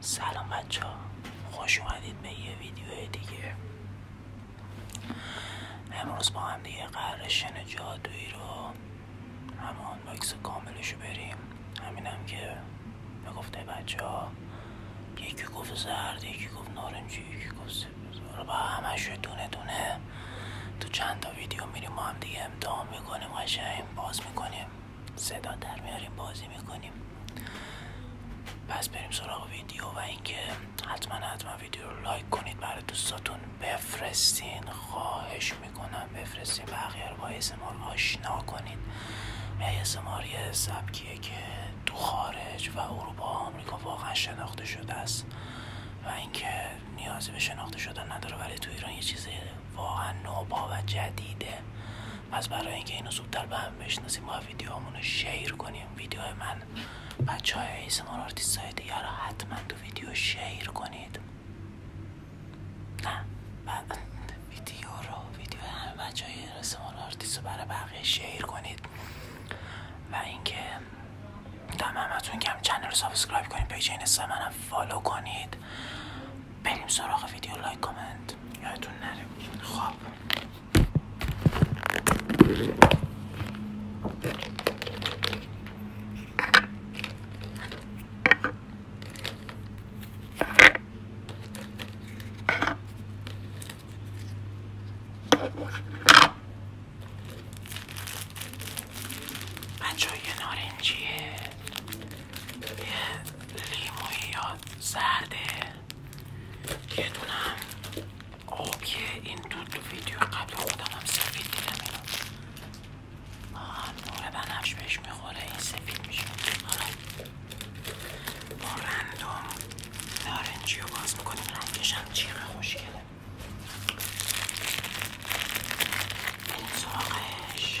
سلام بچه ها خوش اومدید به یه ویدیو دیگه امروز با هم دیگه قرار جادویی رو همه آنباکس رو بریم همینم که میگفته بچه ها یکی گفت زرد یکی گفت نارنجی یکی گفت رو با شو دونه دونه تو چند تا ویدیو میریم ما هم دیگه امتحان میکنیم قشنگ باز میکنیم صدا در میاریم بازی میکنیم پس بریم سراغ ویدیو و اینکه حتما حتما ویدیو رو لایک کنید برای دوستاتون بفرستین خواهش میکنم بفرستیم بقیه رو با اسمار آشنا کنید اسمار یه سبکیه که تو خارج و اروپا و آمریکا واقعا شناخته شده است و اینکه نیازی به شناخته شدن نداره ولی تو ایران یه چیز واقعا نوبا و جدیده پس برای اینکه اینو زودتر به هم بشناسیم ما ویدیوهامون رو شیر کنیم ویدیو من بچه های ایسمان آرتیست های دیگر حتما تو ویدیو شیر کنید نه بعد ویدیو رو ویدیو همه بچه های برای بقیه شیر کنید و اینکه دم همتون که چنل سابسکرایب کنید پیج اینستا منم فالو کنید بریم سراغ ویدیو لایک کامنت یادتون نره خب بچه یه نارنجیه یه لیموی یا زرده یه دونه هم این دو, دو ویدیو قبل خودم هم سفید دیدم نور آره، بنفش بهش میخوره این سفید میشه حالا با رندوم باز میکنیم رنگش هم جیغ خوشگله بریم سراغش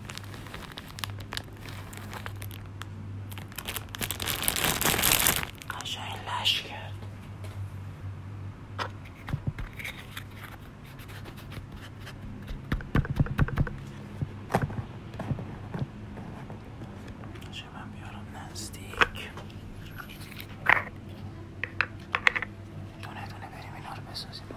قشنگ لش کرد من بیارم نزدیک دونه دونه بریم اینا رو بسازیم با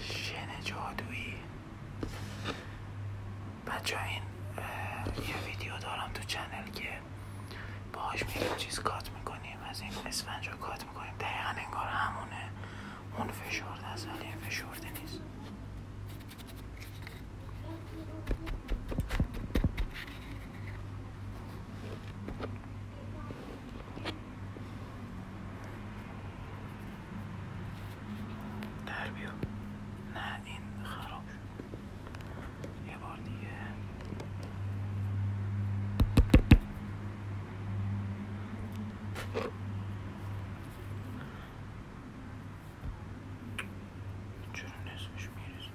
شن جادویی بچه این یه ویدیو دارم تو چنل که باهاش میگم چیز کات میکنیم از این اسفنج رو کات میکنیم دقیقا انگار همونه اون فشرده از ولی فشرده نیست در بیا نه این خراب شد یه بار دیگه چرا نصفش میریزه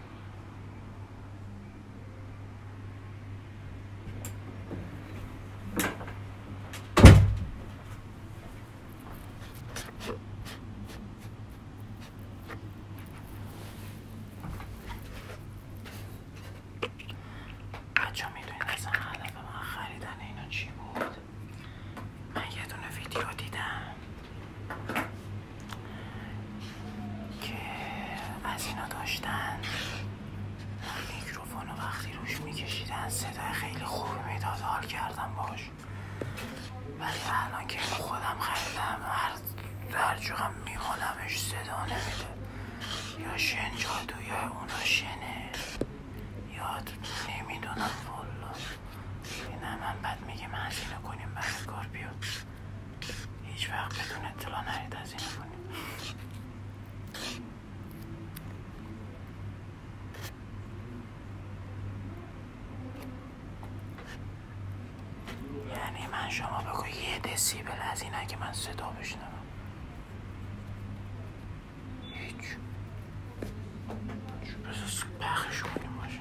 بچه میدونید اصلا هدف من خریدن اینا چی بود؟ من یه ویدیو دیدم که از اینا داشتن میکروفونو وقتی روش میکشیدن صدای خیلی خوب میداد حال کردم باش ولی الان که خودم خریدم هر در جوغم صدا نمیده یا شن جادو یا اونا شنه یاد نمیدونم والا نه من بعد میگه من کنیم بعد کار بیاد هیچ وقت بدون اطلاع نرید از اینو کنیم یعنی من شما بگو یه دسیبل از اینا که من صدا بشنوم هیچ چه پخش کنیم باشه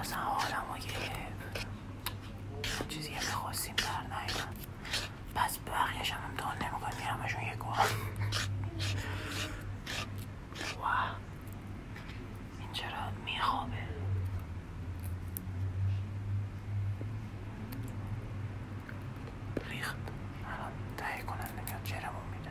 اصلا حالم رو یه چیزی که خواستیم در نیدم پس بقیهش هم امتحان نمیکن میرمشون یک بار واه این چرا میخوابه ریخت الان تهیه کننده چرا چرمون میده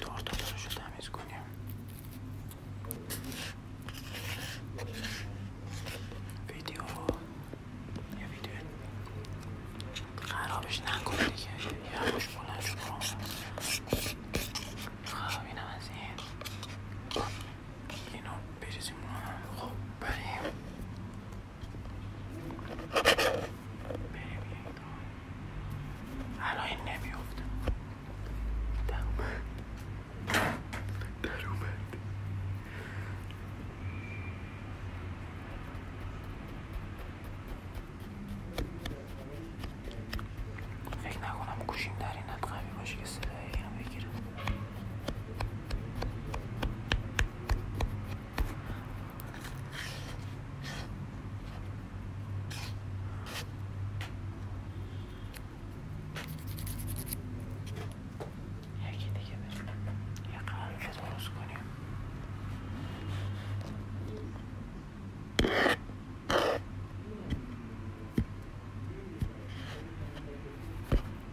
تورتولارش رو تمیز کنیم ویدیو یه ویدیو خرابش نکن دیگه یه خوش بلند شد خب اینم از این اینو بریزیم خب بریم الان این نمیافته در فکر نکنم گوشیم در این قوی باشه که صدایی بگیرم هر کی دیگه کنیم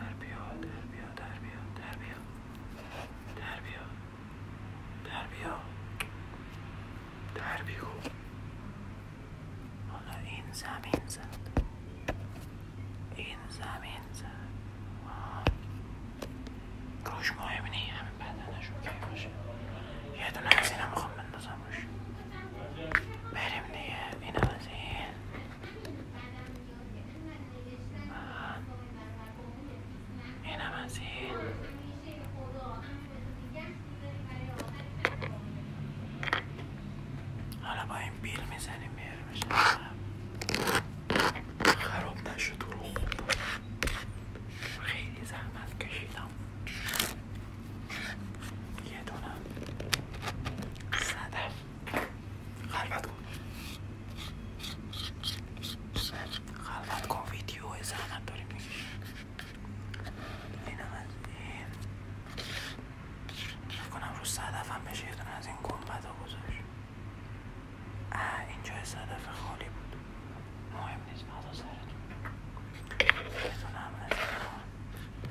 در بیا دربیا، دربیا، دربیا، دربیا، در بیا در بیا در حالا این زمین زد این زمین مهم همین بدنش باشه یه دونه از میخوام بندازم روش بریم دیگه این از اینم از این حالا با این پیل میزنیم میاریمش خراب نشد رو خوب خیلی زحمت کشیدم یه دونه صدف خلوت کن خلوت کن ویدیو زحمت داریم این هم از نکنم رو صدف هم بشه یه از این گنبت ها گذاشت اینجا صدف خالی بود مهم نیست مزا سرتون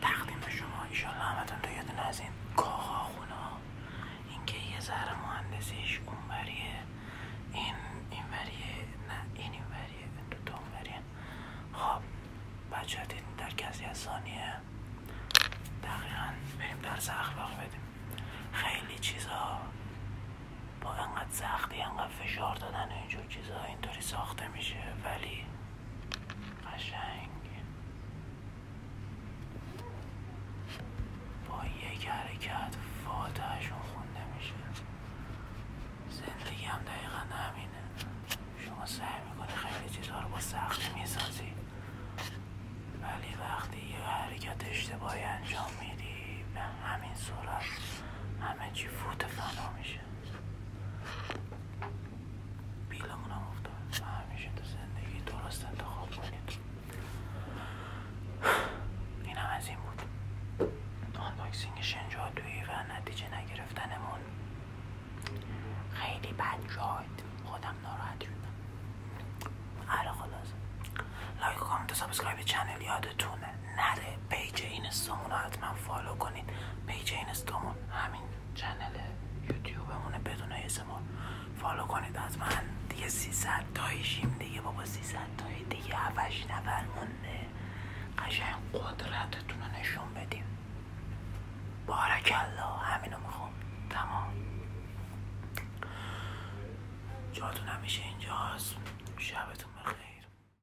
تقدیم به شما ایشالله همتون تو یادون از این کاخا خونا اینکه یه ذره مهندسیش اونوریه این اینوریه نه این اینوریه این دو خب بچه در کسی از ثانیه دقیقا بریم در درس اخلاق بدیم خیلی چیزا با انقدر سختی انقدر فشار دادن اینجور چیزا اینطوری ساخته میشه ولی قشنگ با یک حرکت فاتحشون خونده میشه زندگی هم دقیقا همینه شما سعی میکنی خیلی چیزها رو با سختی میسازی ولی وقتی یه حرکت اشتباهی انجام میدی به همین صورت همه چی فوت فنا میشه همیشه افتاد هم افتاد تو زندگی درست انتخاب کنید این هم از این بود آنباکسینگ شنجادوی و نتیجه نگرفتنمون خیلی بد شد خودم ناراحت شدم آره خلاص لایک و کامنت سابسکرایب چنل یادتونه نره پیج این رو حتما فالو کنید پیج اینستامون همین چنل همونه بدون اسمون فالو کنید من دیگه 300 تایشیم دیگه بابا 300 تایی دیگه هفش نفر مونده قشنگ قدرتتون رو نشون بدیم بارک الله همینو میخوام تمام جاتون همیشه اینجاست شبتون بخیر